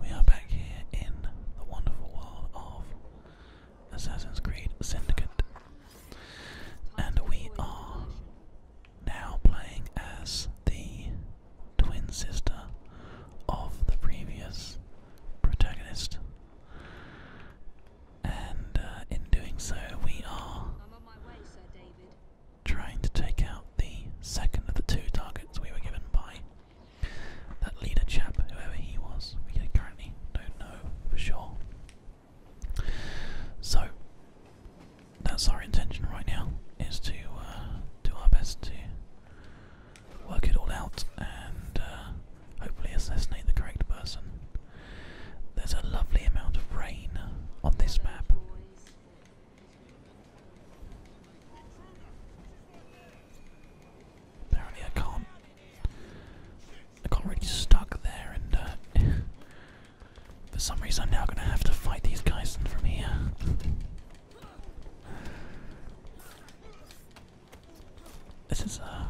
we are back here in the wonderful world of Assassin's Creed Syndicate. And we are now playing as the twin sister of the previous protagonist. And uh, in doing so, we are Trying to take out the second of the two targets we were given by that leader chap, whoever he was, we currently don't know for sure. So that's our intention right now, is to uh, do our best to work it all out and uh, hopefully assassinate the correct person. There's a lovely amount of rain on this map. Apparently I can't I got really stuck there and uh, for some reason I'm now gonna have to fight these guys from here. This is uh,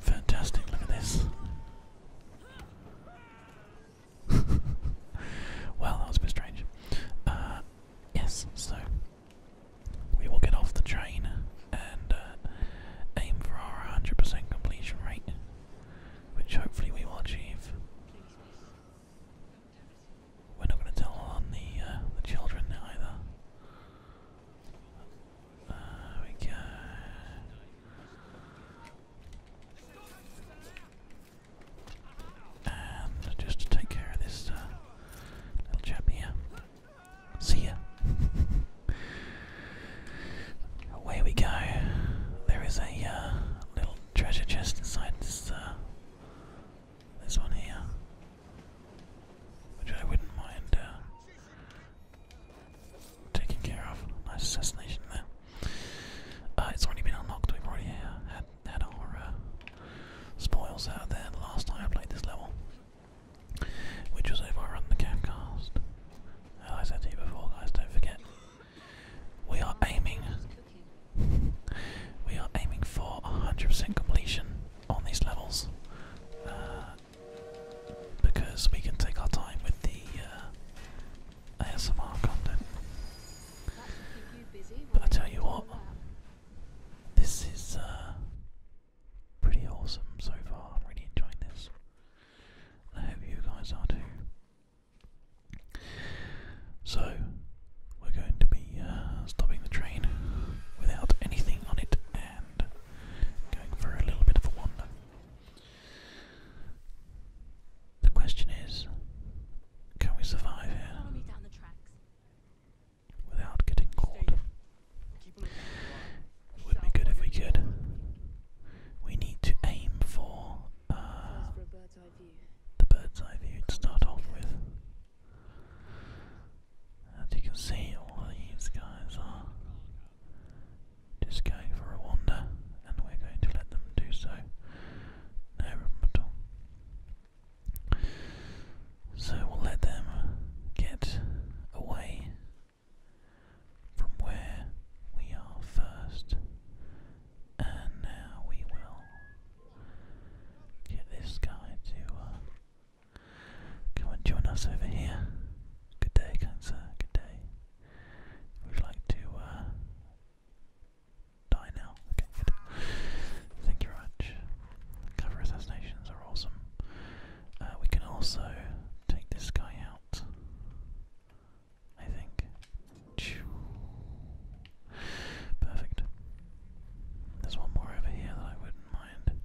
fantastic, look at this. well, that was a bit strange. Uh, yes, so we will get off the train and uh, aim for our 100% completion rate, which hopefully we will achieve. We're not going to tell on the uh, the children either. There we go. And just to take care of this uh, little chap here. See ya. Away we go. There is a uh, little treasure chest inside this uh, this one here, which I wouldn't mind taking care of. Nice assassination there. it's already been unlocked. We've already had that are uh, spoils out there the last time I played this level, which was over on the Capcast. I said to you before, guys, don't forget we are aiming. we are aiming for 100% completion on these levels. Uh, because we can take our time with the uh, ASMR content. But I tell you what, this is uh, pretty awesome so far. I'm really enjoying this. I hope you guys are too. So, we're going to be uh, stopping the train without anything on it and going for a little bit of a wander. The question is, can we survive here? without getting caught. It would be good if we could. We need to aim for uh, the bird's eye view to start off with. As you can see, all of these guys are just going for a wander, and we're going to let them do so. No problem at all. So we'll let them get away from where we are first. And now we will get this guy to uh, come and join us over here. Good day, Cancer. Good day. we Would like to uh, die now. Thank you very much. Cover assassinations are awesome. Uh, we can also take this guy out. I think. Perfect. There's one more over here that I wouldn't mind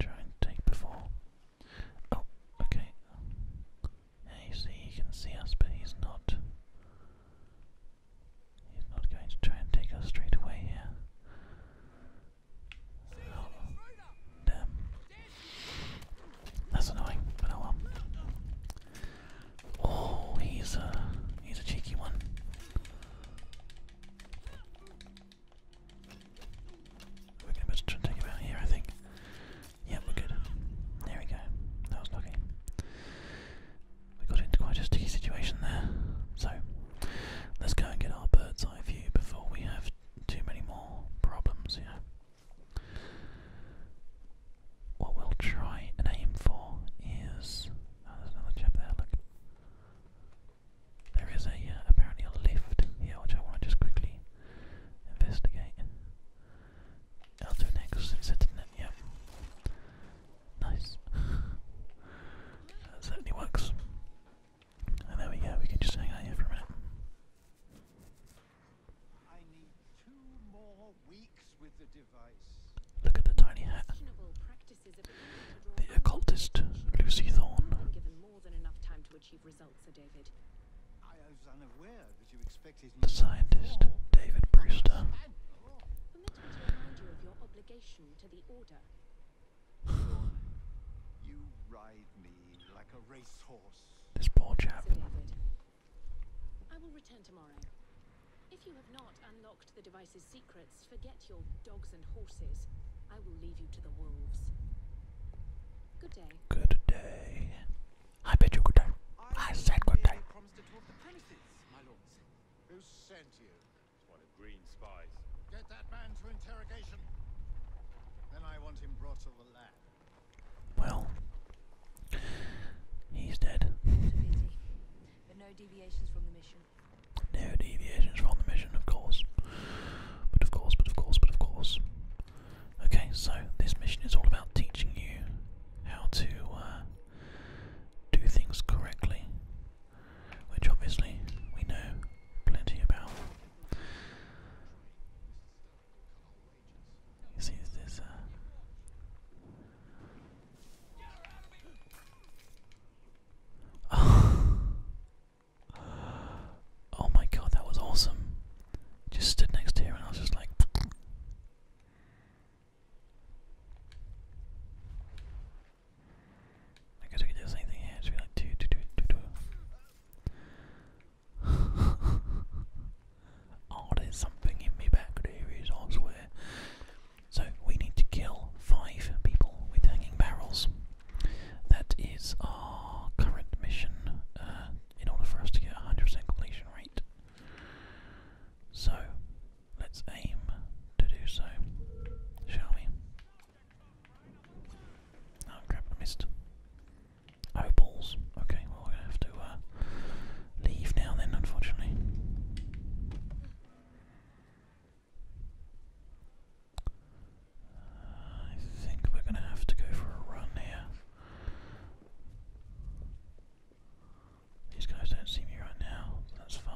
trying to take before. Oh, okay. Yeah, you see, he can see us, but he's not. He's not going to try and take us straight away here. damn. That's annoying, but oh well. Oh, he's a, uh, he's a cheeky one. We're gonna try and take him out here, I think. Yep, we're good. There we go. That was lucky. We got into quite a sticky situation there. So let's go and get our bird's eye view before we have too many more problems, you What we'll try and aim for is. Oh, another chap there, look. There is a uh, apparently a lift here, which I want to just quickly investigate. i next. It's it, did Yep. Nice. that certainly works. And there we go, we can just hang out here for a minute. Look at the tiny hat. The occultist Lucy Thorne. The scientist David Brewster. This poor chap. I will return tomorrow. If you have not unlocked the device's secrets, forget your dogs and horses. I will leave you to the wolves. Good day. Good day. I bet you good day. I, said good day. Who sent you? It's one of Green's spies. Get that man to interrogation. Then I want him brought to the lab. Well, he's dead. But no deviations from the mission. No deviations from the mission, of course. But of course, but of course, but of course. Okay, so this mission is all about teaching you how to uh, do things correctly, which obviously we know plenty about. You see, there's uh... oh. my god, that was awesome! Just stood next to her, and I was just like. I guess we could do the same thing here, just be like two, two, two, two, two. oh, there's something in me back there is, I swear. So we need to kill five people with hanging barrels. That is our current mission uh, in order for us to get a 100% completion rate. So Let's aim to do so, shall we? Oh crap, I missed. Oh balls. Okay, well we have to uh, leave now then, unfortunately. I think we're gonna have to go for a run here. These guys don't see me right now, that's fine.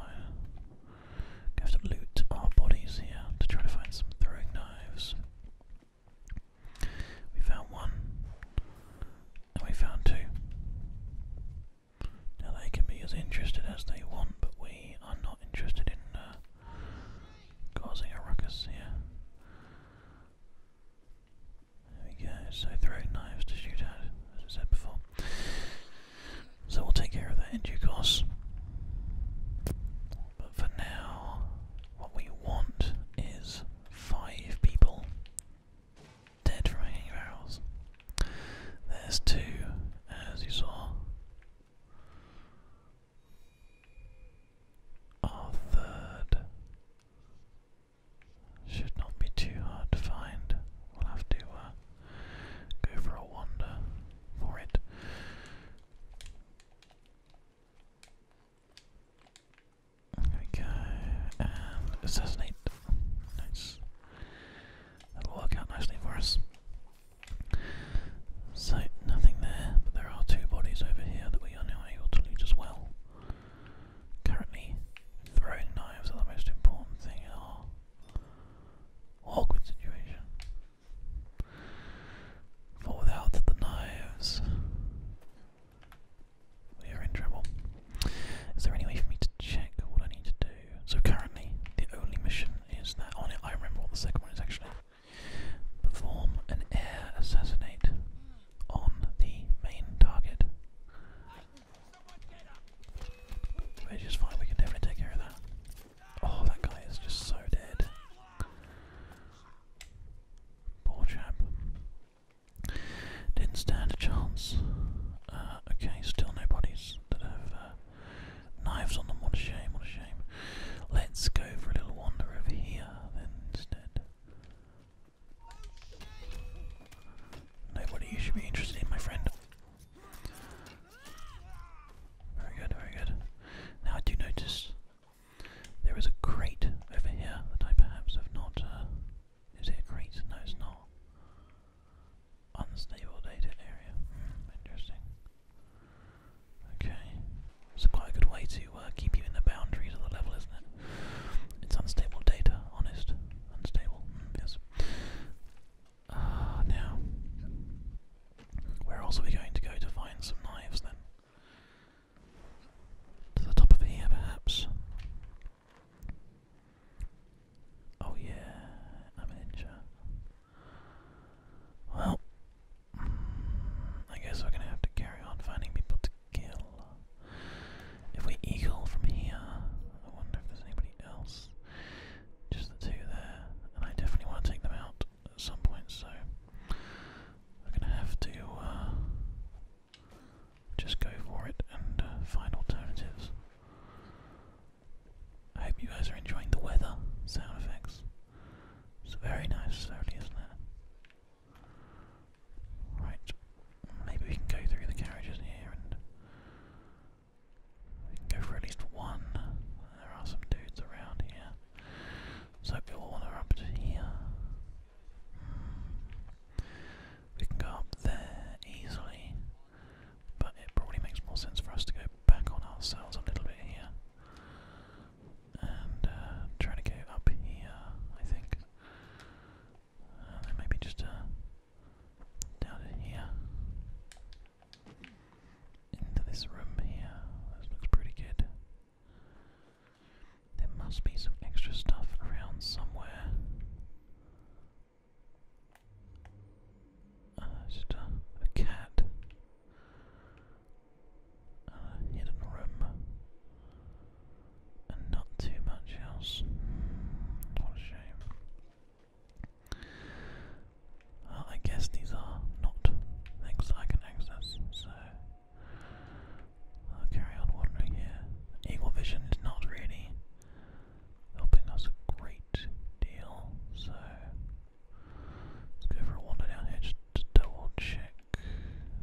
have to loot our bodies here to try to find some throwing knives. We found one, and we found two. Now they can be as interested as they want, but we are not interested in uh, causing a ruckus here. There we go, so throwing knives to shoot out. as I said before. So we'll take care of that in due course. But for now, what we want is five people dead from hanging There's two, as you saw. Our third should not be too hard to find. We'll have to uh, go for a wander for it. There assassinate. Nice. That'll work out nicely for us. So, nothing there, but there are two bodies over here that we are now able to loot as well. Currently, throwing knives are the most important thing in our awkward situation. For without the knives, we are in trouble. Is there any way for me to check what I need to do? So currently, the only mission is that on oh it. I remember what the second one is actually. Perform an air assassinate on the main target. Which is fine, we can definitely take care of that. Oh, that guy is just so dead. Poor chap. Didn't stand a chance. Uh, okay, still no bodies that have uh, knives on them. What a shame, what a shame. Let's go for a little wander over here then instead. Nobody you should be interested in, my friend. Very good, very good. Now I do notice there is a crate over here that I perhaps have not. Uh, is it a crate? No, it's not. Unstable data area. Hmm, interesting. Okay. It's quite good way to uh, keep you in the boundaries of the level, isn't it? It's unstable data, honest. Unstable, mm, yes. Ah, now, where else are we going to go to find some knives then? To the top of here, perhaps. Oh, yeah, i Well, mm, I guess we're gonna have to carry on finding people to kill. If we eagle from here, I wonder if there's anybody else. Just the two there, and I definitely want to take them out at some point, so we're gonna have to uh, just go for it and uh, find alternatives. I hope you guys are enjoying the weather sound effects. It's very nice, certainly, isn't it? Right, maybe we can go through the carriages here and we can go for at least one. There are some dudes around here. So we all want to up to here. Mm. We can go up there easily, but it probably makes more sense for us to go back on ourselves a little bit here. And uh, try to go up here, I think. Uh, there just down here. Into this room here. looks pretty good. There must be some extra stuff around somewhere. Uh, just a, cat. Uh, hidden room and not too much else. What a shame. Well, I guess these are not things I can access, so I'll carry on wandering here. Eagle vision is not really helping us a great deal, so let's go for a wander down here just to double check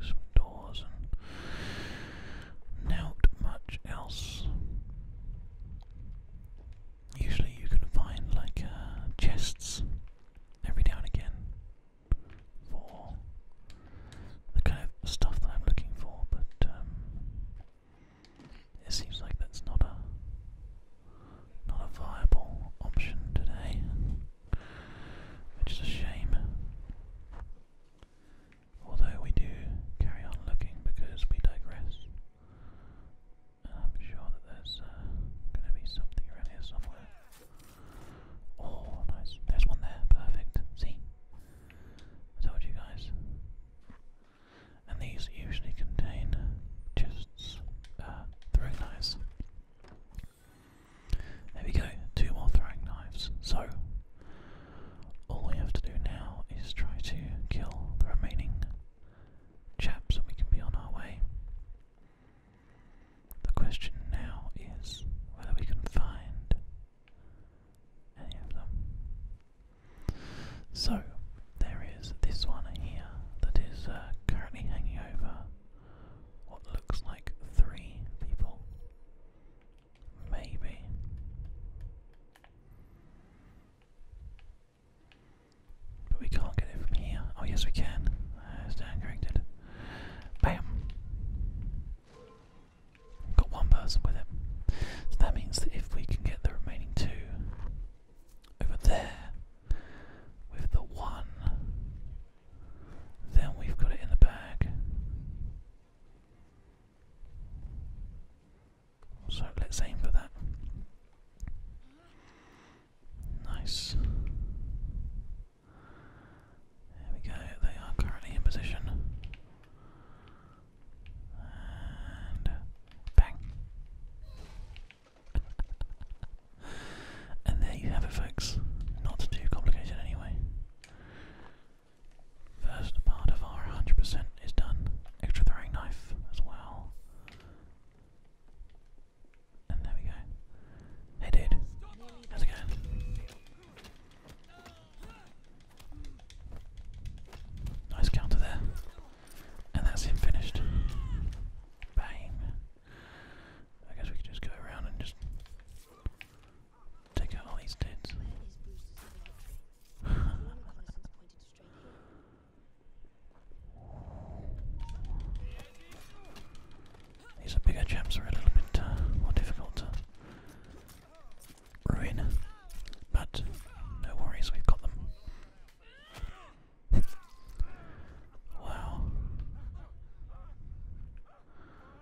some doors and not much else. Usually you can find like uh, chests every now and again for the kind of stuff that I'm looking for, but um, it seems like that's not a not a viable option today, which is a shame. Although we do carry on looking because we digress. I'm sure that there's uh, going to be something around here somewhere. Oh, nice. There's one there. Perfect. See? I told you guys. And these usually contain chests. Uh, throwing knives. There we go. Two more throwing knives. So, all we have to do now is try to kill the remaining chaps and we can be on our way. The question now is whether we can find any of them. So, there is this one here that is uh, currently hanging over what looks like three people. Maybe. But we can't get it from here. Oh, yes, we can. Uh, stand corrected. Bam! Got one person with it. So that means that if we can get the remaining two over there with the one, then we've got it in the bag. So let's aim for that. Nice. There we go, they are currently in position. And bang. and there you have it, folks. Not too complicated, anyway. First part of our 100% is done. Extra throwing knife as well. And there we go. Hey dude, how's it going? Nice counter there. And that's him finished. Bang. I guess we could just go around and just Take out all these dudes. these are bigger gems are a little bit uh, more difficult to ruin, but no worries, we've got them. wow.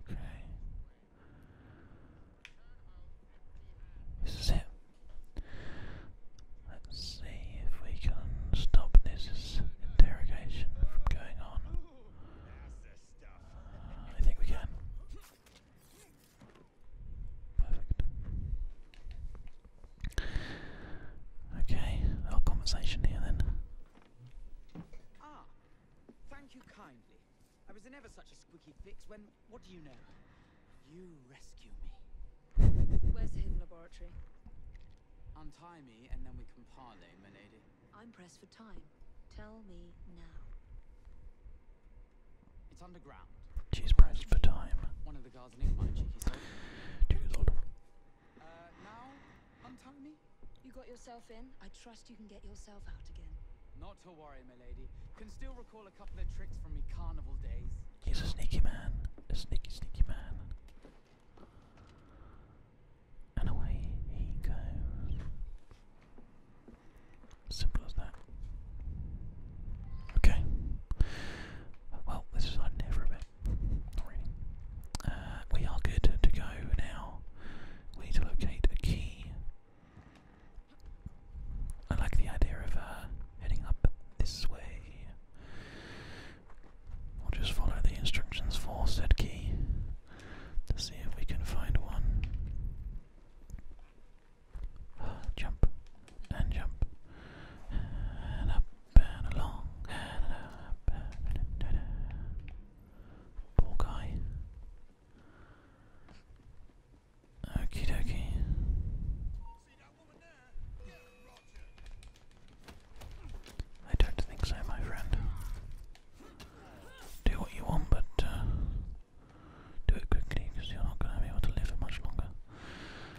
Okay. This is it. Let's see if we can stop this interrogation from going on. Uh, I think we can. Perfect. Okay, our conversation here then. Ah, thank you kindly. I was in ever such a squeaky fix when, what do you know? You rescue me. Where's the hidden laboratory? Untie me, and then we can parley, my lady. I'm pressed for time. Tell me now. It's underground. She's pressed for time. One of the guards nicked my cheeky soul. Uh, now, untie me? You got yourself in. I trust you can get yourself out again. Not to worry, my lady. Can still recall a couple of tricks from my carnival days. He's a sneaky man. A sneaky, sneaky man. And away he goes. Simple as that. Okay. Well, this is on there uh, we are good to go now. We need to locate a key. I like the idea of uh, heading up this way. We'll just follow the instructions for said key to see if we can find one. jump and jump and up Burn along. Poor guy. Okie dokie. I don't think so, my friend. Do what you want, but uh, do it quickly because you're not going to be able to live for much longer.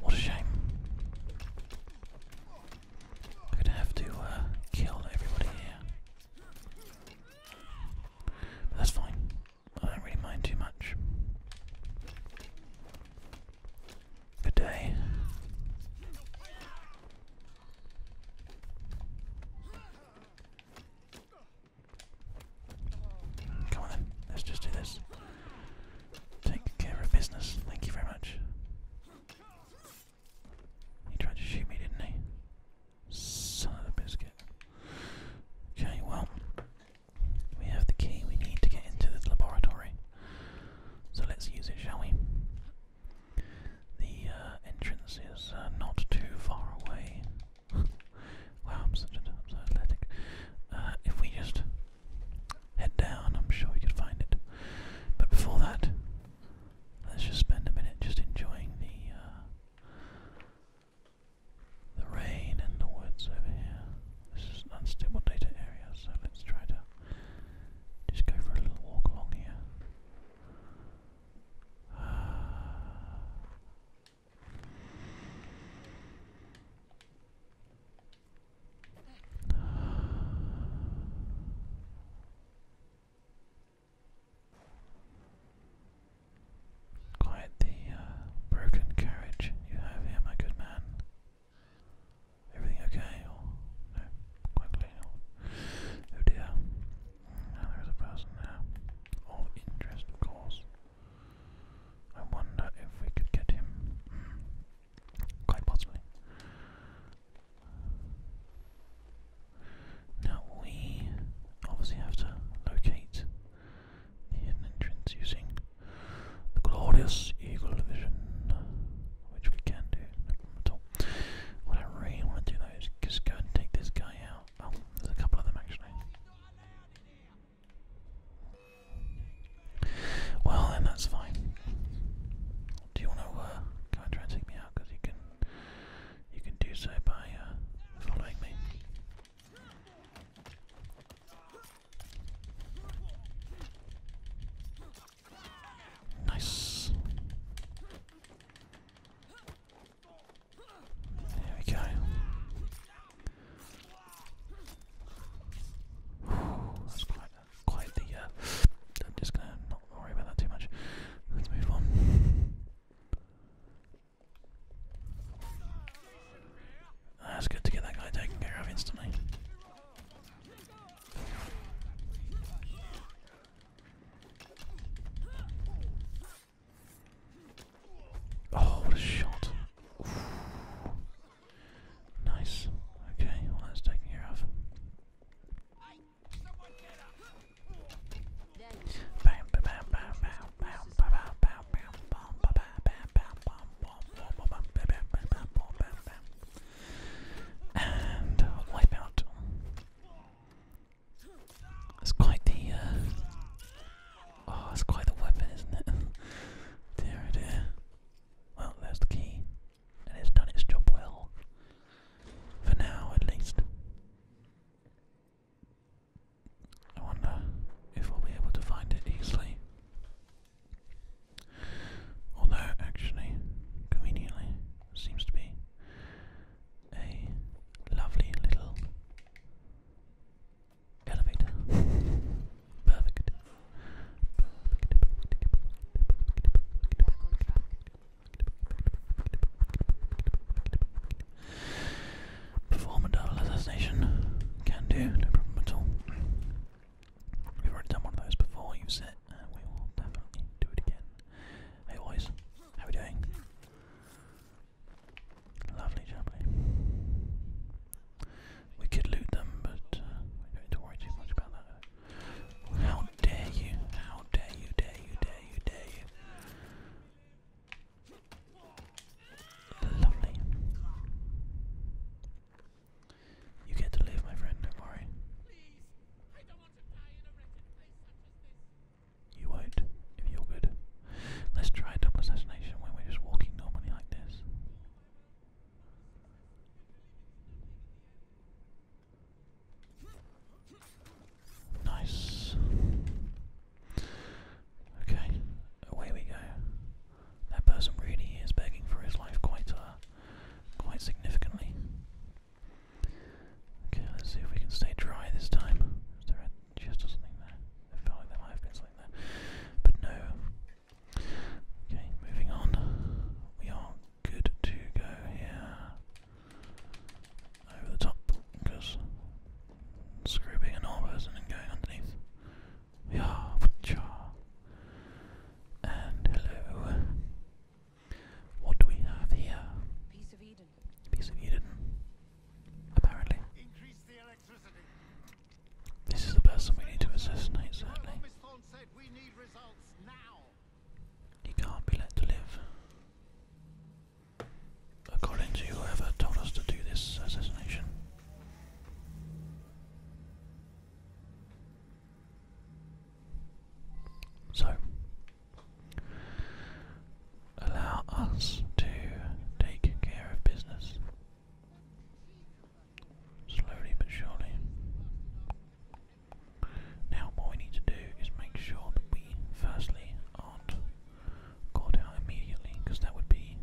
What a shame. I'm gonna have to uh, kill everybody here. But that's fine. I don't really mind too much. Good day. Come on let's just do this. Take care of business. Thank you very much. He tried to shoot me, didn't he? Son of a biscuit. Okay, well, we have the key we need to get into this laboratory. So let's use it, shall we? The uh, entrance is uh, not too far away. wow, I'm such an athletic. Uh, if we just head down. I'm sure we could find it. But before that, let's just spend a minute just enjoying the uh, the rain in the woods over here. This is an unstable data area, so let's try to just go for a little walk along here. Quite the uh, broken carriage you have here, my good man. Everything okay? Or oh dear. Mm, there is a person there. All interest, of course. I wonder if we could get him. Mm. Quite possibly. Now we obviously have to locate the hidden entrance using the glorious eagle vision, which we can do, no problem at all. What I really want to do though is just go and take this guy out. Oh, there's a couple of them actually. Well, then that's fine. Do you want to uh, go and me out? Because you can, you can do so by uh, following me. Nice. There we go. that's quite quite the. Uh, I'm just gonna not worry about that too much. Let's move on. That's good to get that guy taken care of instantly. Oh, what a shot! Nice. Okay, well that's taken care of. And wipe out. That's quite the uh oh, that's quite the weapon, isn't it? dear, oh dear. Well, there's the key, and it's done its job well. For now, at least. I wonder if we'll be able to find it easily. Although, actually, conveniently, seems to be a lovely little elevator. Perform a double assassination. Can do, no problem at all. We've already done one of those before, you've and uh, we will definitely do it again. Hey boys, how are we doing? Lovely, lovely. We could loot them, but uh, we don't need to worry too much about that. How dare you! How dare you! Dare you! Dare you! Dare you! Lovely. You get to live, my friend. Don't worry. You won't, if you're good. Let's try double assassination when we're just walking normally like this. Nice. Okay, away we go. That person really is begging for his life quite, uh, quite significantly. Okay, let's see if we can stay dry this time. Is there a chest or something there? I felt like there might have been something there, but no. Okay, moving on. We are good to go here over the top because screw being a person and going underneath. We And hello. What do we have here? Piece of Eden. Piece of Eden. Apparently. This is the person we need to assassinate, certainly. He can't be let to live. According to whoever told us to do this assassination. So, allow us to take care of business slowly but surely. Now, what we need to do is make sure that we firstly aren't caught out immediately, because that would be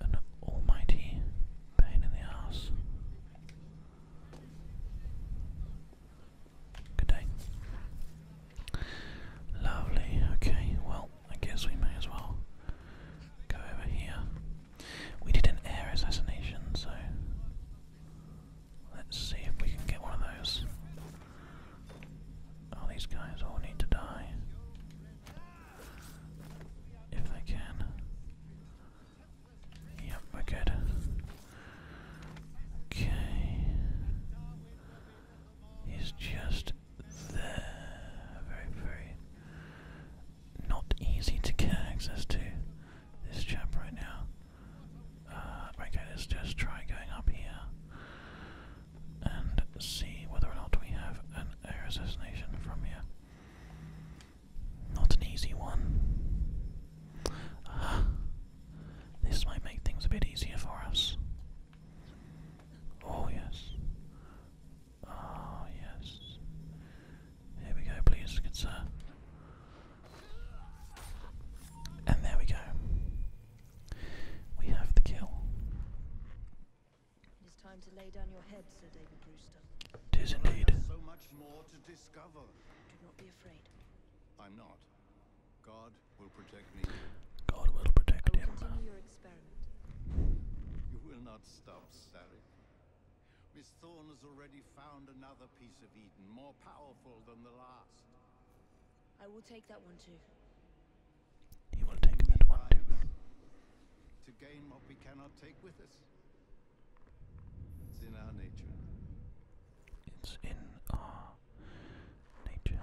an almighty pain in the ass. Good day. Lovely, okay, well, I guess we may as well go over here. We did an air assassination, so let's see if we can get one of those. Oh, these guys all need to die. If they can. Yep, we're good. Okay. He's just there. Very, very not easy to get access to this chap right now. Uh, okay, let's just try going up here and see whether or not we have an air assassination from here. Not an easy one. Uh-huh. this might make things a bit easier for us. Oh, yes. Oh, yes. Here we go, please, good sir. And there we go. We have the kill. It is time to lay down your head, Sir David Brewster. Tis indeed. So much more to discover. Do not be afraid. I'm not. God will protect me. God will protect I You will not stop Sarek. Miss Thorn has already found another piece of Eden, more powerful than the last. I will take that one too. You will take that one too. To gain what we cannot take with us. It's in our nature. It's in our nature.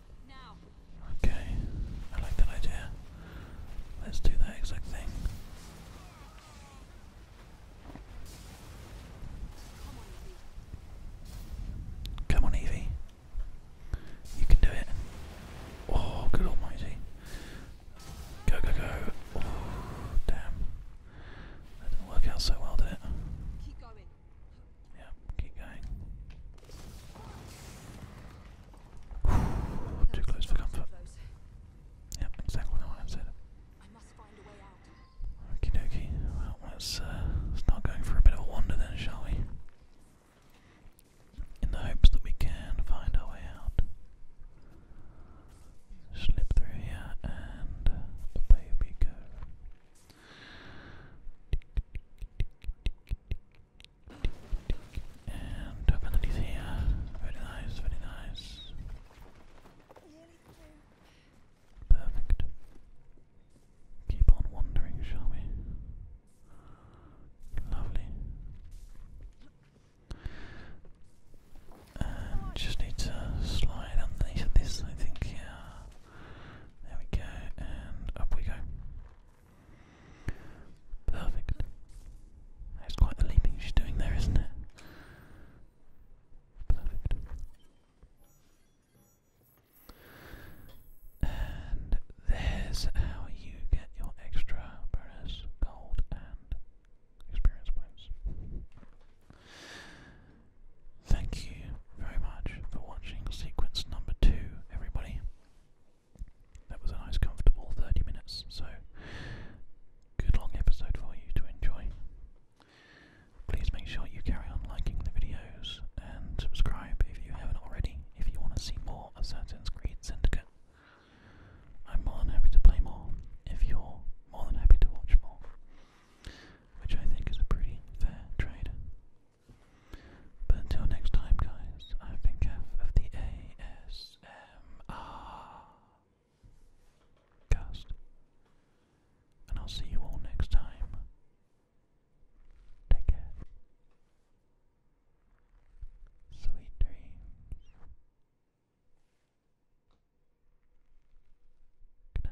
Okay, I like that idea. Let's do that exact thing. Come on, Evie. You can do it. Oh, good almighty. Go, go, go. Oh, damn. That didn't work out so well, did it? Yeah, keep going. Too close for comfort. Yep, exactly what I said. I must find a way let's, uh, start for a bit of a wander then, shall we? In the hopes that we can find our way out. Slip through here and away we go. And two here. Very nice, very nice. Perfect. Keep on wandering, shall we? Lovely. just need to slide underneath this, I think. Yeah. There we go, and up we go. Perfect. That's quite the leaping she's doing there, isn't it? Perfect. And there's how you get your extra bonus gold and experience points. Thank you very much for watching sequence number two, everybody. That was a nice, comfortable 30 minutes, so good long episode for you to enjoy. Please make sure you carry on liking the videos and subscribe if you haven't already if you want to see more Assassin's Creed Syndicate. I'm more than happy to play more if you're more than happy to watch more, which I think is a pretty fair trade. But until next time, guys, I've been Kev of the ASMR cast, and I'll see you all next time. Take care. Sweet dreams. Good night.